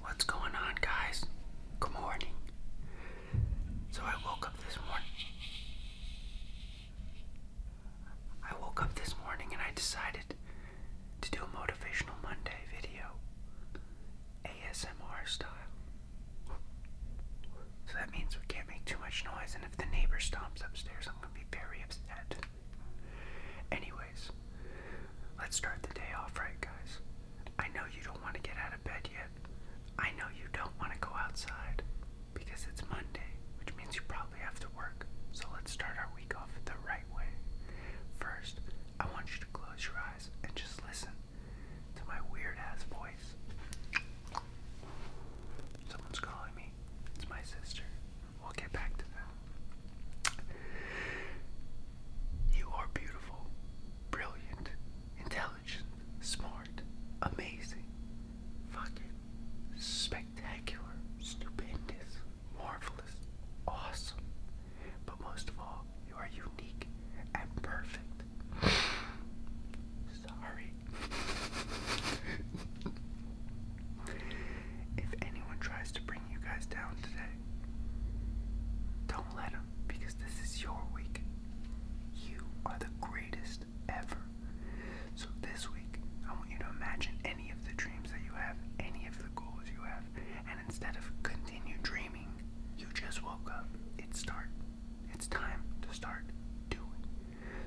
What's going on, guys? Good morning. So, I woke up this morning. I woke up this morning and I decided to do a Motivational Monday video. ASMR style. So that means we can't make too much noise, and if the neighbor stomps upstairs, I'm gonna be very upset. Anyways, let's start the day off right, guys. I know you don't want to get out of bed yet. I know you don't want to go outside because it's Monday, which means you probably have to work. So let's start our week off the right way. First, I want you to close your eyes and just listen to my weird ass voice. Someone's calling me. It's my sister. We'll get back to that. You are beautiful, brilliant, intelligent, smart, amazing, fucking spectacular, stupendous, marvelous, awesome, but most of all, you are unique and perfect. Sorry. if anyone tries to bring you guys down today, don't let them because this is your week. You are the greatest ever. So this week, I want you to imagine any of the dreams that you have, any of the goals you have, and instead of continue dreaming, you just woke up. It's start. It's time to start doing.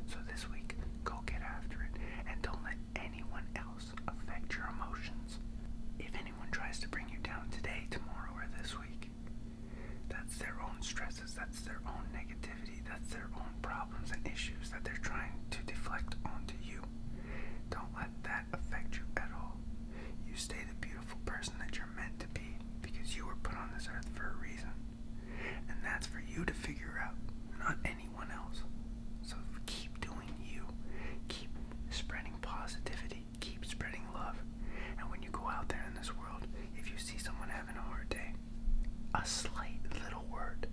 So this week, go get after it and don't let anyone else affect your emotions. If anyone tries to bring you down today, tomorrow, or this week, that's their own stresses, that's their own negativity that's their own problems and issues that they're trying to deflect onto you. Don't let that affect you at all. You stay the beautiful person that you're meant to be because you were put on this earth for a reason. And that's for you to figure out, not anyone else. So keep doing you. Keep spreading positivity. Keep spreading love. And when you go out there in this world, if you see someone having a hard day, a slight little word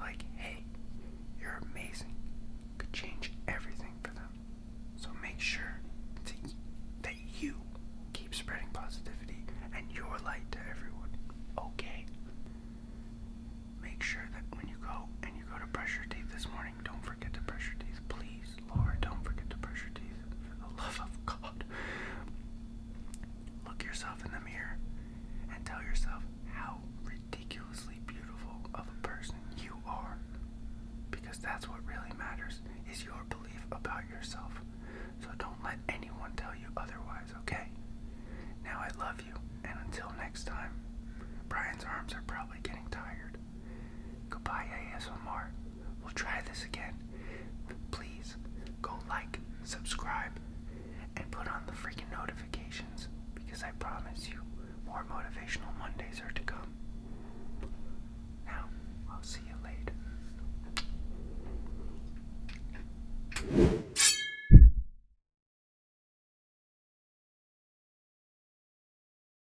like, hey, you're amazing, could change everything for them. So make sure that you keep spreading positivity and your light to everyone, okay? Make sure that when you go and you go to brush your teeth this morning, don't forget to brush your teeth. Please, Laura, don't forget to brush your teeth. For the love of God. Look yourself in the mirror and tell yourself how ridiculously beautiful of a person you are. Because that's what really matters is your belief about yourself. So don't let anyone tell you otherwise, okay? Now I love you, and until next time, Brian's arms are probably getting tired. Goodbye, ASMR. We'll try this again. Please go like, subscribe, and put on the freaking notifications because I promise you more motivational Mondays are to come. Now, I'll see you later.